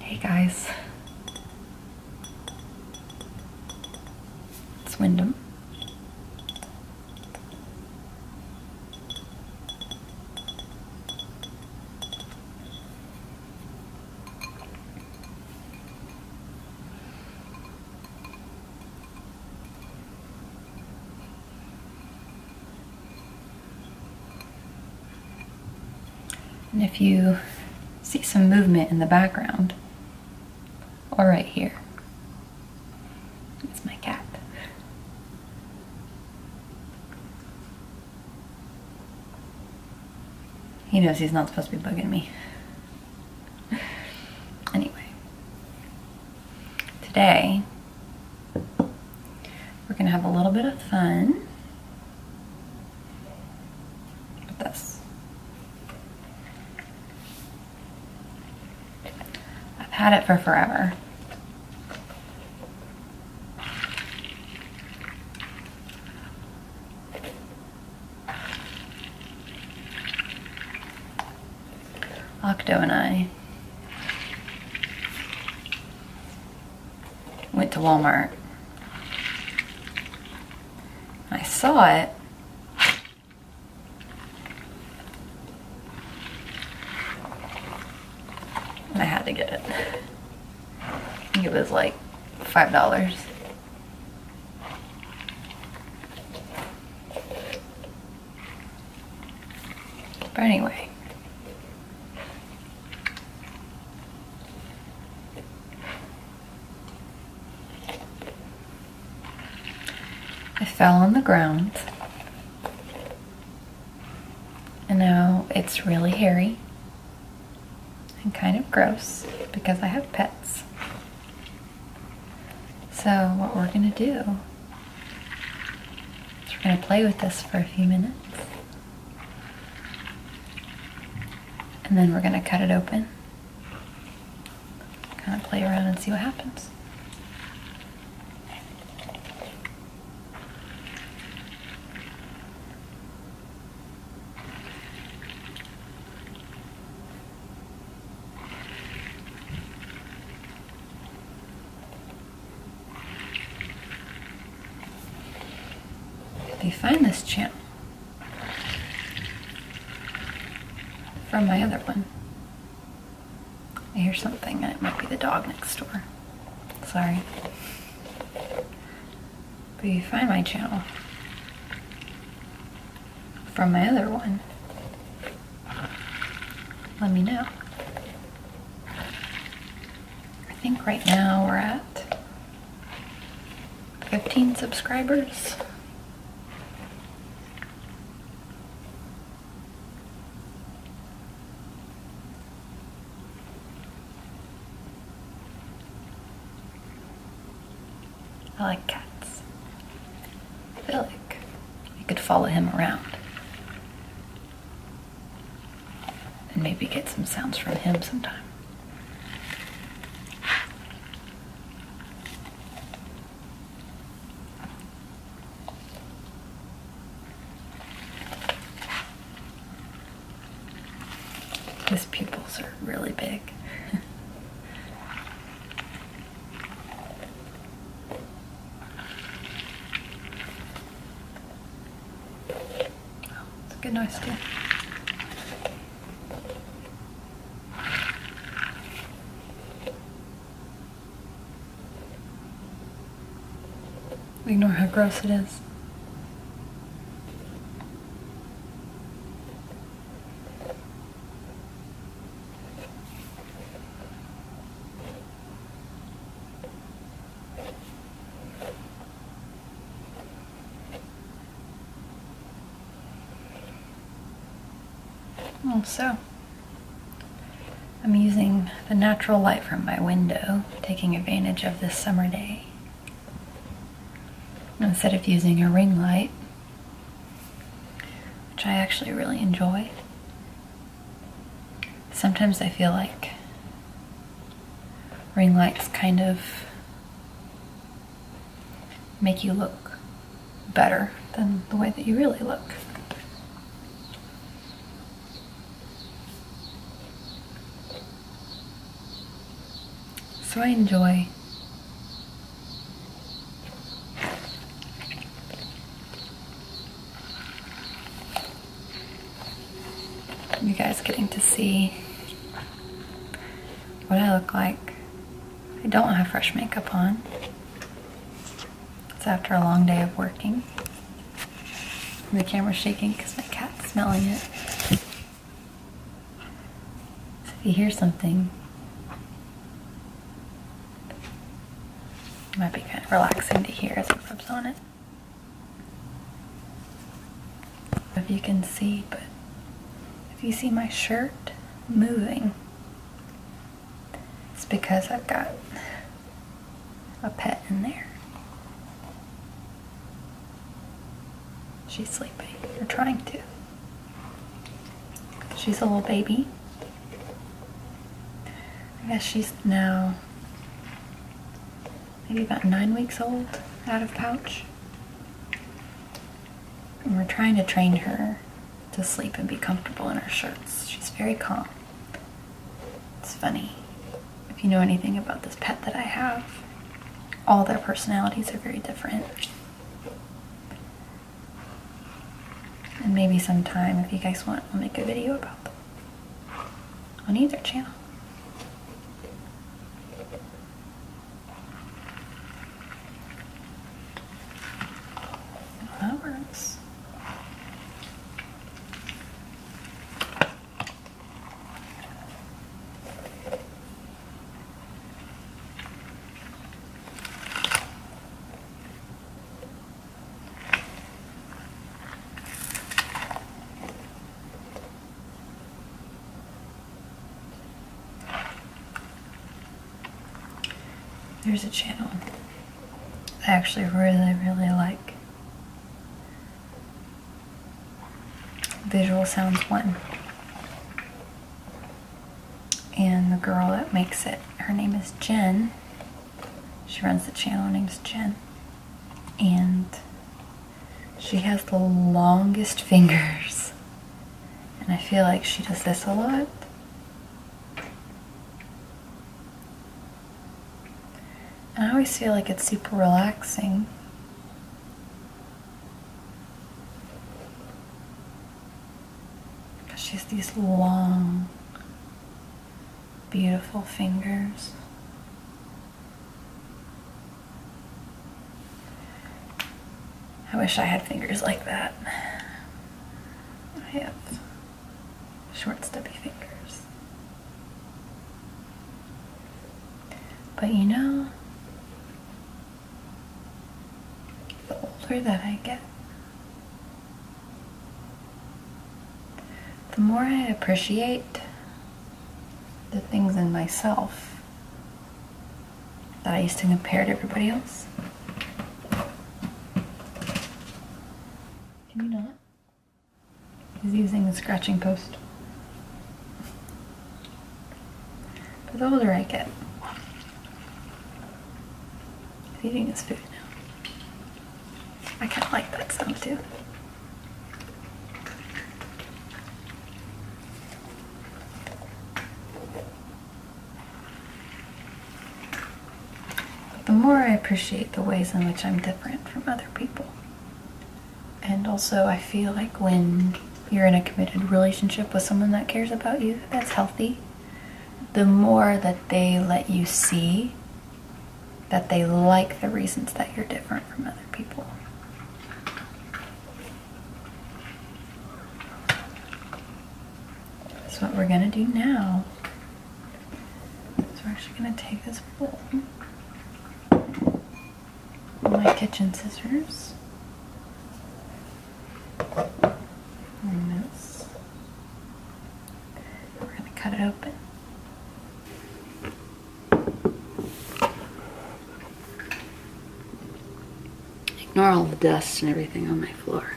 Hey guys, it's Wyndham. And if you see some movement in the background, or right here, it's my cat. He knows he's not supposed to be bugging me. Anyway, today we're gonna have a little bit of fun with this. I've had it for forever. Octo and I went to Walmart. I saw it. And I had to get it. it was like $5. But anyway. I fell on the ground. And now it's really hairy and kind of gross because I have pets. So what we're gonna do so we're going to play with this for a few minutes. And then we're going to cut it open. Kind of play around and see what happens. Let me find this channel from my other one. I hear something, and it might be the dog next door. Sorry. But you find my channel from my other one let me know. I think right now we're at 15 subscribers. I like cats. I feel like we could follow him around and maybe get some sounds from him sometime. His pupils are really big. it's a good noise too. Ignore how gross it is. Oh, so, I'm using the natural light from my window, taking advantage of this summer day. Instead of using a ring light, which I actually really enjoy, Sometimes I feel like ring lights kind of make you look better than the way that you really look. So I enjoy are You guys getting to see what I look like. I don't have fresh makeup on. It's after a long day of working. The camera's shaking because my cat's smelling it. So if you hear something, it might be kind of relaxing to hear as it flips on it. If you can see, but if you see my shirt moving, it's because I've got a pet in there. She's sleeping, or trying to. She's a little baby. I guess she's now maybe about nine weeks old out of pouch. And we're trying to train her to sleep and be comfortable in her shirts. She's very calm. It's funny. If you know anything about this pet that I have, all their personalities are very different. And maybe sometime, if you guys want, we will make a video about them on either channel. that works. There's a channel I actually really, really like. Visual Sounds 1. And the girl that makes it, her name is Jen. She runs the channel, her name's Jen. And she has the longest fingers. And I feel like she does this a lot. And I always feel like it's super relaxing. Because she has these long beautiful fingers. I wish I had fingers like that. I have short, stubby fingers. But you know, the older that I get, the more I appreciate the things in myself that I used to compare to everybody else. Can you not? He's using the scratching post. But the older I get, He's eating his food now. I kind of like that sound too. the more I appreciate the ways in which I'm different from other people. And also, I feel like when you're in a committed relationship with someone that cares about you, that's healthy, the more that they let you see that they like the reasons that you're different from other people. So, what we're going to do now is we're actually going to take this bowl, my kitchen scissors, and this, we're going to cut it open. Ignore all the dust and everything on my floor.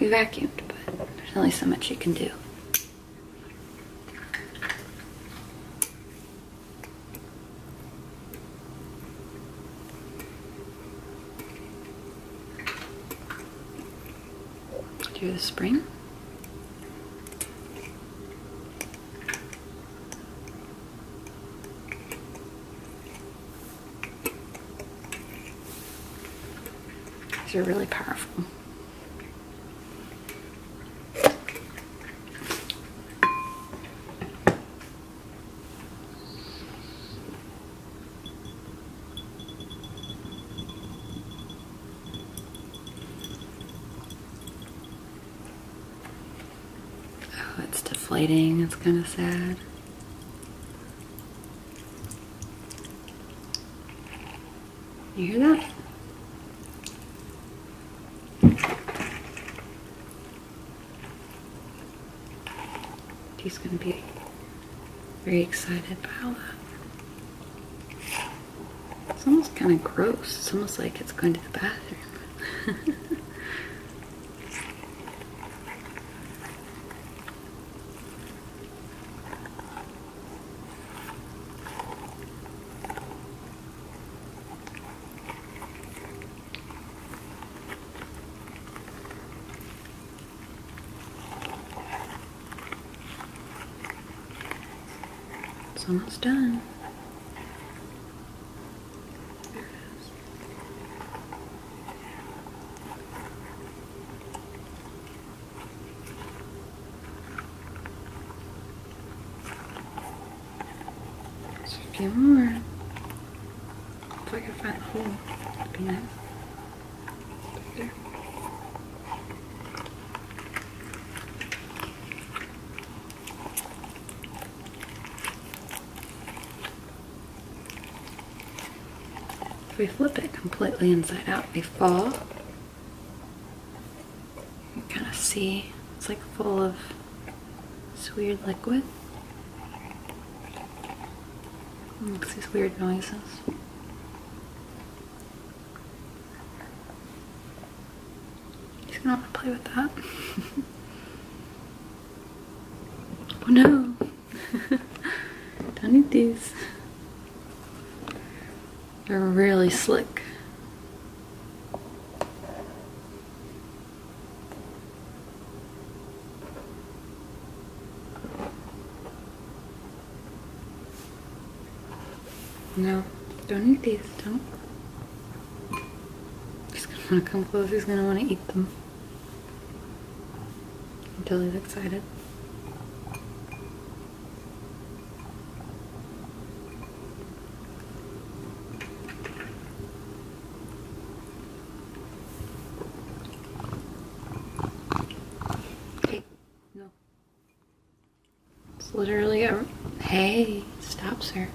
We vacuumed, but there's only so much you can do do the spring. These are really powerful. Oh, it's deflating. It's kind of sad. You hear that? He's going to be very excited about that. It's almost kind of gross. It's almost like it's going to the bathroom. It's almost done. Just a few more. If I can find the be nice. If we flip it completely inside out, we fall. You kind of see it's like full of this weird liquid. makes these weird noises. He's gonna want to play with that. oh no! Don't eat these. They're really slick. No, don't eat these, don't. He's gonna come close, he's gonna wanna eat them. Until he's excited. Okay, no. It's literally a hey stop, sir!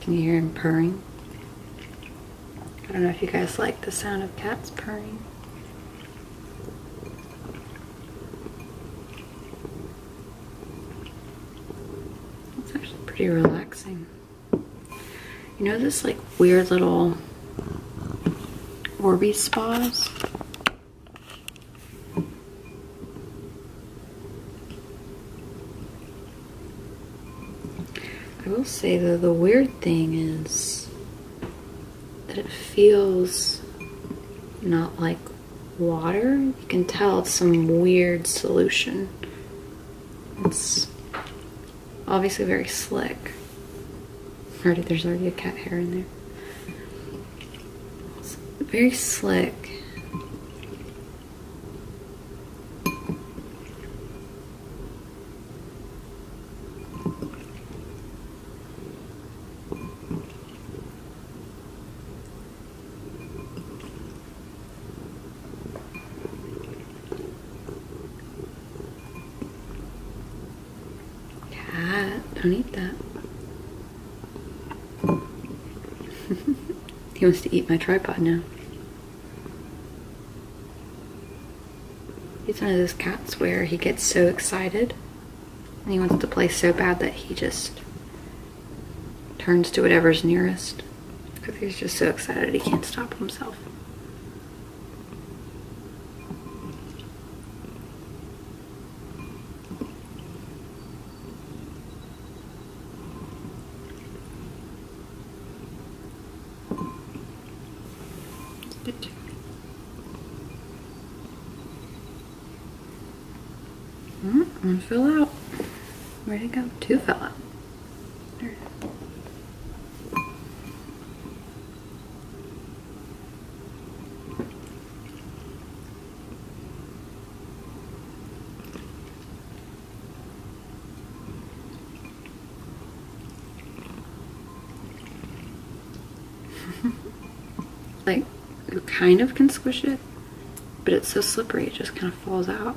Can you hear him purring? I don't know if you guys like the sound of cats purring. It's actually pretty relaxing. You know this like weird little Orby spas? I will say though, the weird thing is that it feels not like water. You can tell it's some weird solution. It's obviously very slick. Already, there's already a cat hair in there. very slick. Cat, don't eat that. he wants to eat my tripod now. He's one of those cats where he gets so excited and he wants to play so bad that he just turns to whatever's nearest because he's just so excited he can't stop himself. It's a bit different. one fell out. where to go? Two fill out. like, you kind of can squish it, but it's so slippery it just kind of falls out.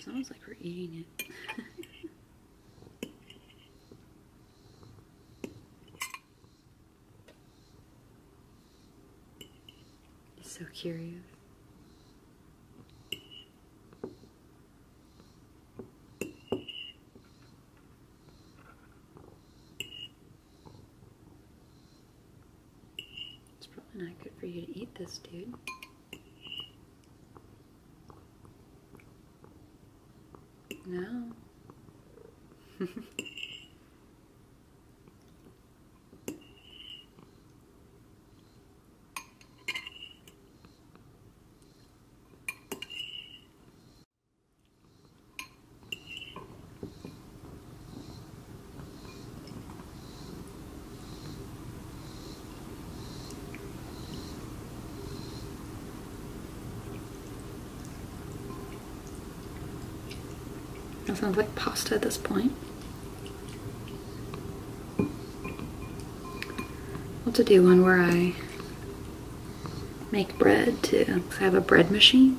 Sounds like we're eating it. He's so curious. It's probably not good for you to eat this, dude. No. That sounds like pasta at this point. I'll to do one where I make bread too. Cause I have a bread machine.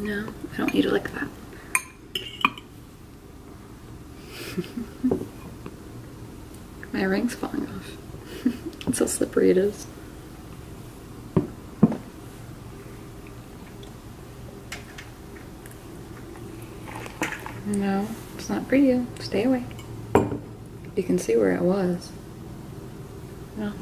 No, I don't eat it like that. My ring's falling off. That's how slippery it is. No, it's not for you. Stay away. You can see where it was. No.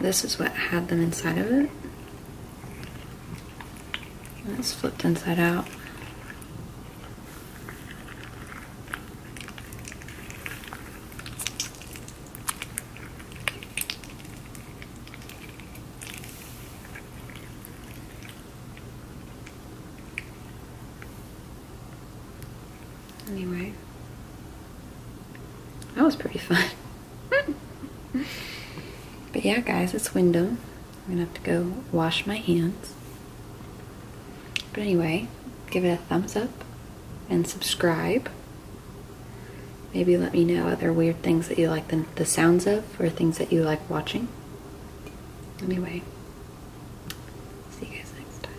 This is what had them inside of it. And it's flipped inside out. Anyway, that was pretty fun. but yeah, guys, it's window. I'm gonna have to go wash my hands. But anyway, give it a thumbs up and subscribe. Maybe let me know other weird things that you like the, the sounds of or things that you like watching. Anyway, see you guys next time.